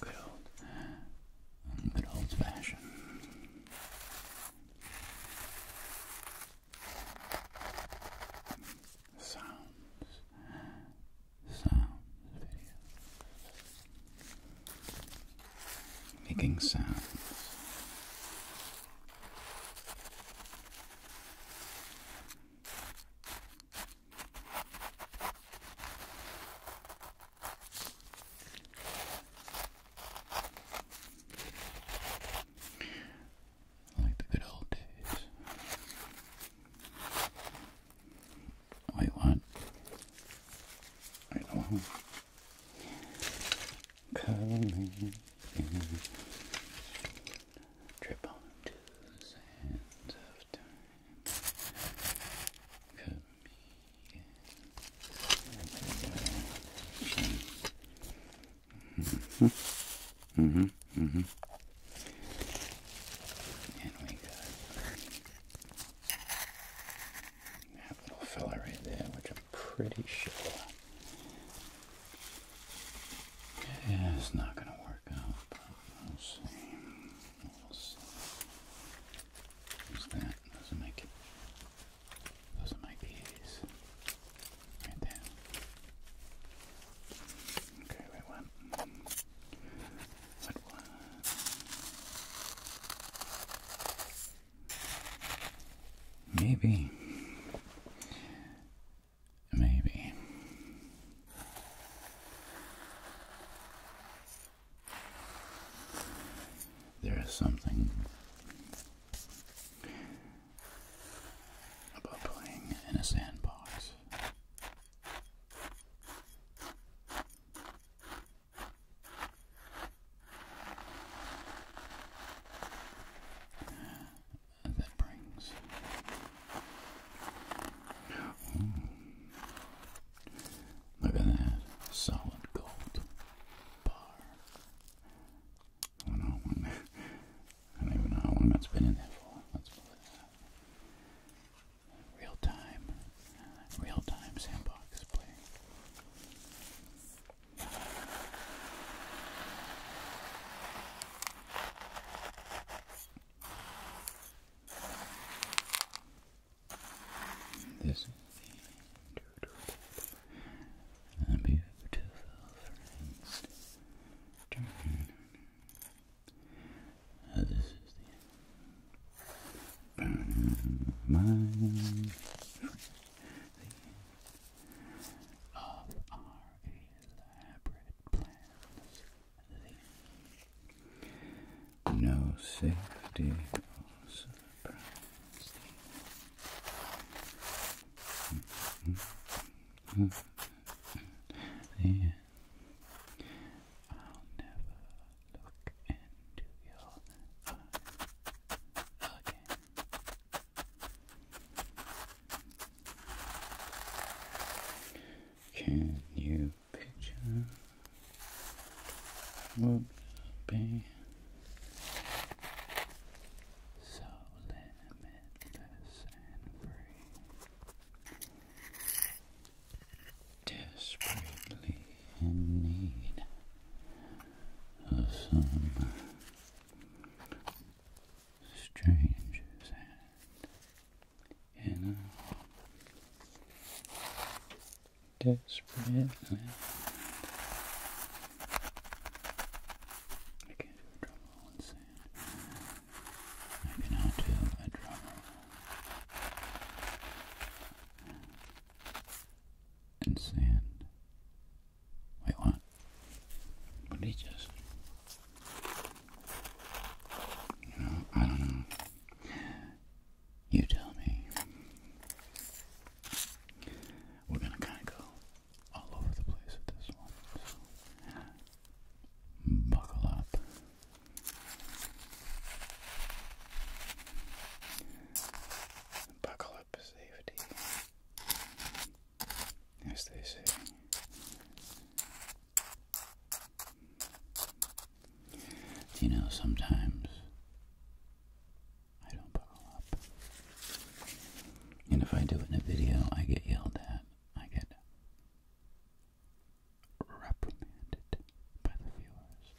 Good old, good old fashioned. Sounds, sounds Making sounds. Like the good old days. Wait, what? Wait, oh. Cuddling in drip onto the sands of time. Could be Mm-hmm. Mm-hmm. Mm-hmm. And we got that little fella right there, which I'm pretty sure is not going to work out we that? Those are my, those are my peas. Right there. Okay, wait, what? What, what? Maybe. Maybe. There is something about playing in a sandbox that brings. Look at that solid gold bar. I don't oh even know how long that's been in there for. Real time, real time sandbox play. This a beautiful friend. This is the end. The end of our elaborate plans. No safety or surprise thee. I'll never look into your eyes again. Can you picture what would be so limitless and free? Desperately in need of some stranger's hand and uh, desperate. Uh, I can't do a drum in sand. I cannot do a drum in sand. Wait, what? What did he just? You I don't know. You tell me. We're gonna kind of go all over the place with this one. buckle up. Buckle up, safety. As they say you know, sometimes I don't buckle up. And if I do in a video, I get yelled at. I get reprimanded by the viewers.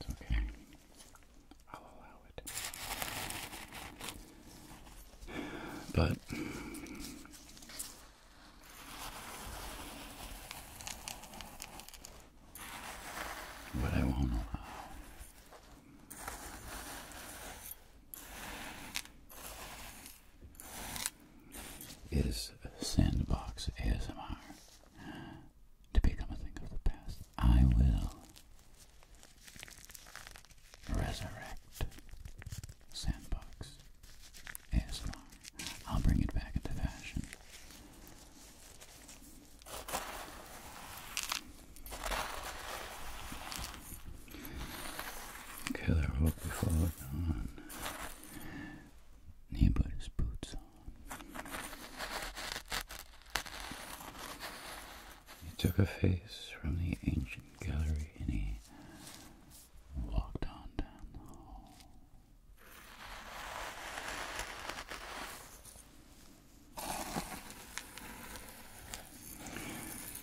It's okay. I'll allow it. But but I won't Is Sandbox ASMR to become a thing of the past? I will resurrect Sandbox. ASMR. I'll bring it back into fashion. Killer hook before dawn. He put his boots on. He took a face from the ancient gallery and he walked on down the hall.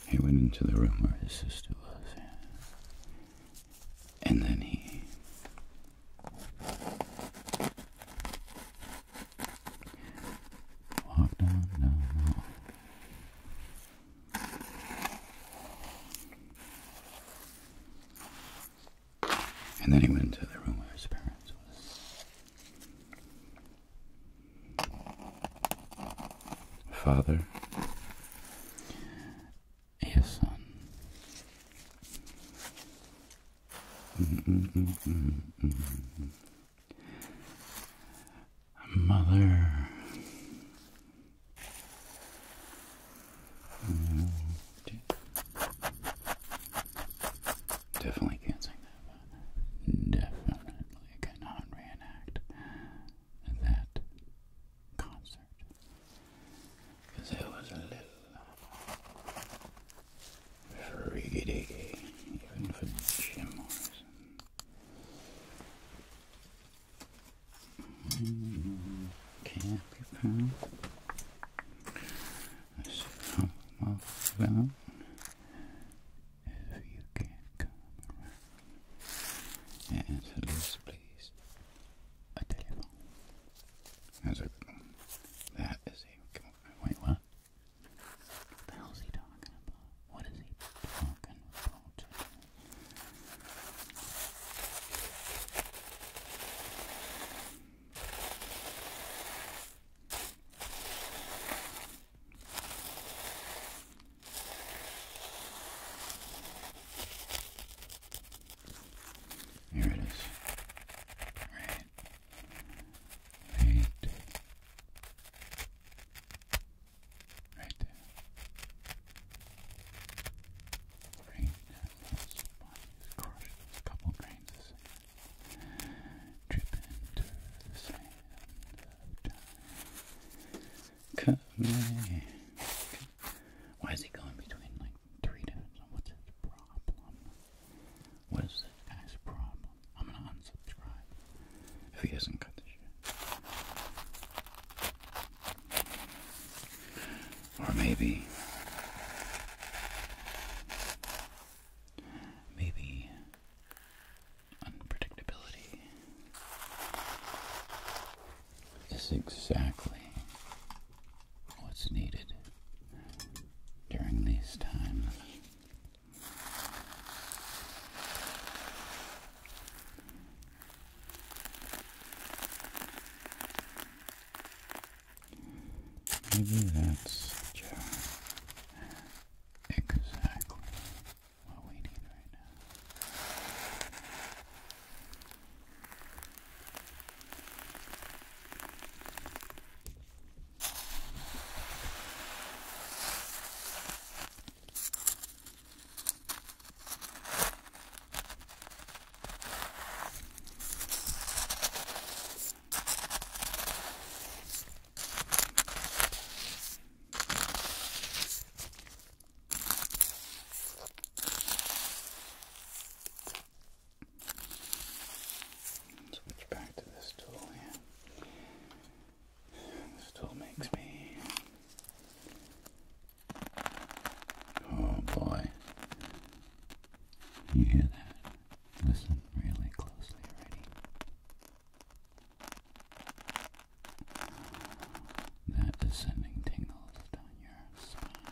He went into the room where his sister was, and then he walked on down the hall. And then he went into the room where his parents was. Father, a son mother. Definitely can't sing that. Definitely cannot reenact that concert. it was a little freaky even for Jim Morrison. Can't be found. Let's help them out. If you can't come around and answer A telephone. That's a That is a Wait, What the hell is he talking about? What is he talking about? Here it is. Right. Eight. Right there. Grain handles, bodies crushed, a couple grains of sand. the sand Cut away. Why is he going between like three dudes? What's his problem? What is this guy's problem? I'm gonna unsubscribe if he doesn't cut the shit. Or maybe, maybe unpredictability is exactly what's needed during these times. Maybe that's exactly what we need right now. Switch back to this tool here. This tool makes me Oh boy. You hear that? Listen really closely already. That descending tingles down your spine.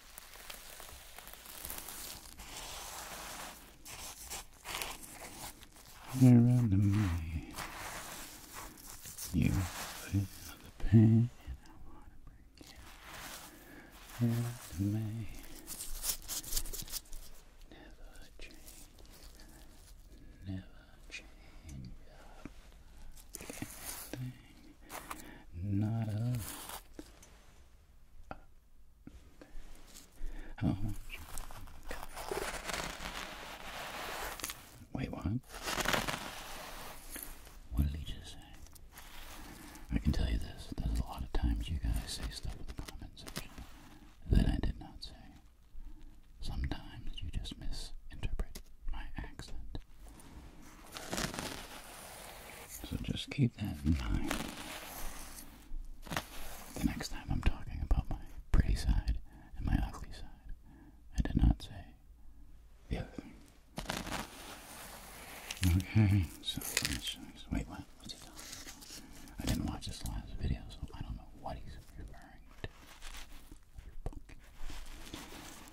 you me. You feel the pain. I wanna bring you under me. Never change. Never change up. Anything not a. Oh, wait, what? What did he just say? I can tell you this, there's a lot of times you guys say stuff in the comment section that I did not say. Sometimes you just misinterpret my accent. So just keep that in mind the next time I'm talking about my pretty side and my ugly side. I did not say the other thing. Okay, so wait, what? What's he talking about? I didn't watch this last video, so I don't know what he's referring to.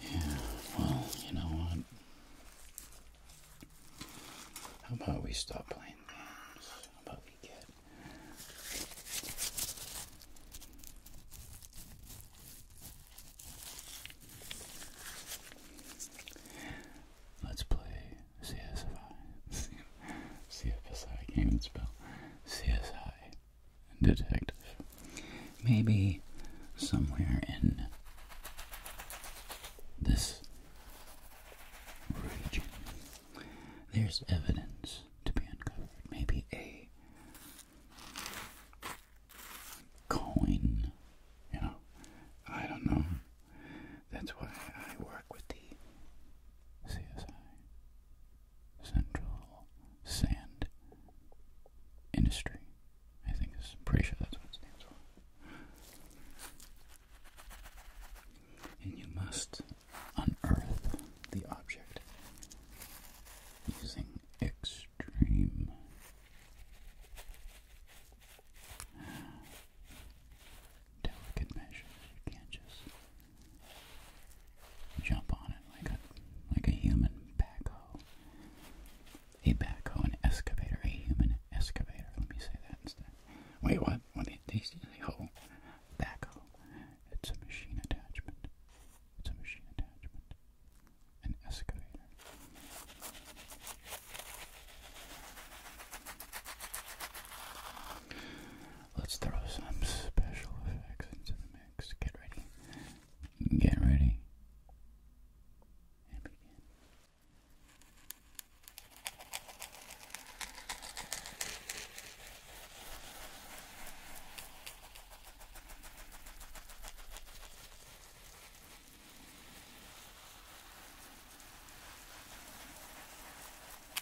Yeah, well, you know what? How about we stop playing games? How about we get Let's play CSI, CFSI, I can't even spell, CSI detective. Maybe somewhere in this region there's evidence to be uncovered. Maybe a coin, you know, I don't know. That's why I work with the CSI Central Sand Industry. I think is pretty sure that's what stands for. And you must unearth the object using extreme delicate measures. You can't just jump on it like a like a human backhoe. A backhoe, an excavator, a human excavator. Let me say that instead. Wait, what? What they they say? Oh, backhoe. It's a machine attachment. It's a machine attachment. An excavator. Let's throw some special effects into the mix. Get ready. Get ready. And begin.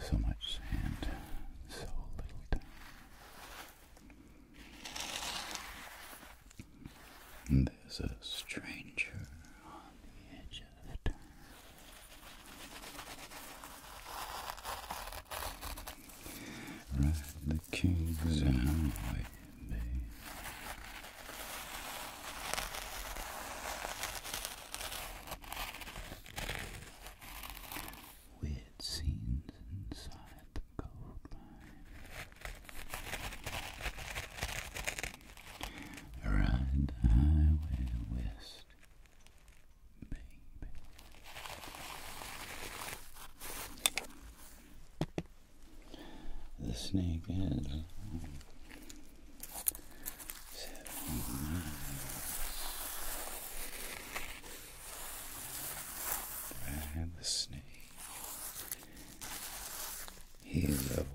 so much sand, so little time. there's a stranger on the edge of the turn. Ride the king's highway, babe. Weird scenes inside the gold mine. Ride the highway west, baby. The snake has seven, nine, Brad the snake. He is of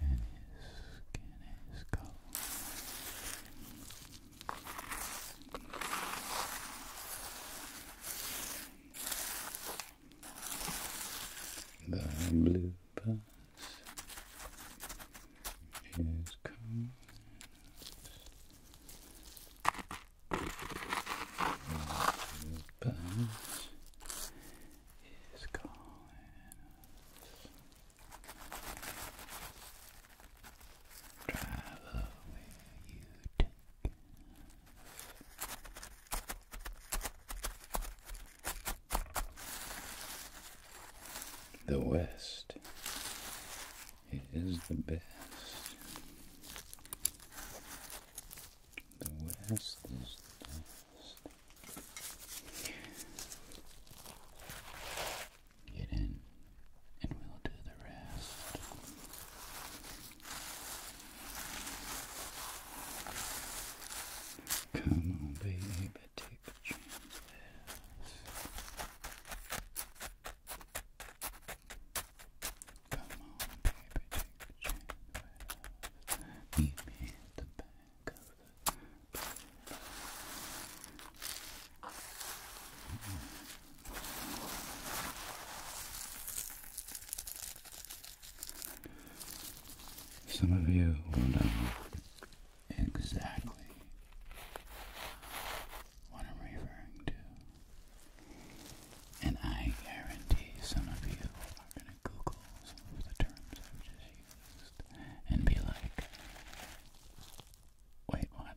and his skin is cold. The blue Here's cones. Here's bells. Here's Collins. Travel where you take. The West is the best. The West is the best. Get in, and we'll do the rest. Come on, baby going take a chance. Come on, baby, take a chance. Meet me at the back of the Mm some of you will know exactly what I'm referring to. And I guarantee some of you are going to Google some of the terms I've just used and be like, wait, what?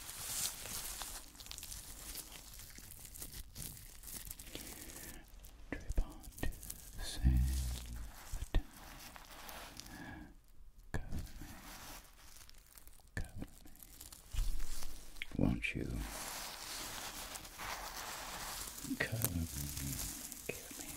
Trip on sand of time. Won't you cover me, give me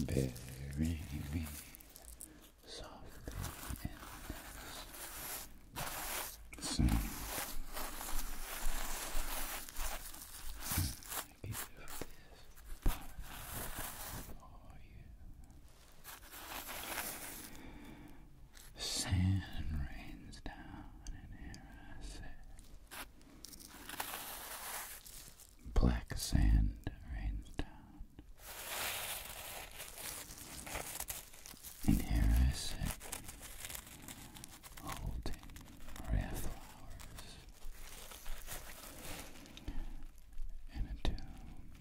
very softly in this sound. Give this part for you. Sand rains down and here I sit. Black sand rains down. And here I sit, holding rare flowers in a tomb.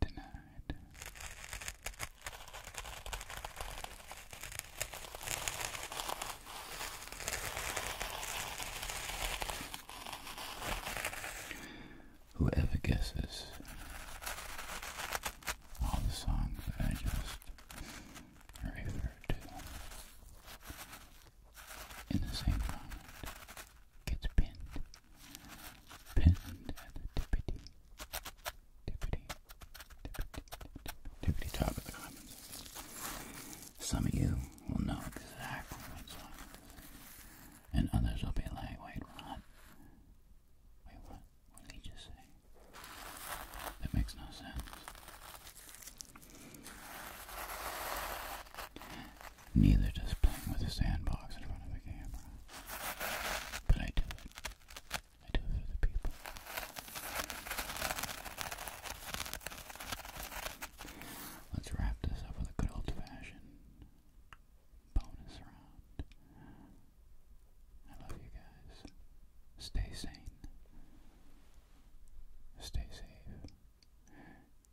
Denied. Whoever guesses all the songs that I just referred to in the same moment gets pinned, pinned at the tippity, tippity, tippity, tippity top of the comments. Some of you will know exactly what's on, and others will be like, wait, Ron, wait, what? What did he say? That makes no sense. Neither does playing with a sandbox in front of the camera. But I do it. I do it for the people. Let's wrap this up with a good old fashioned bonus round. I love you guys. Stay sane. Stay safe.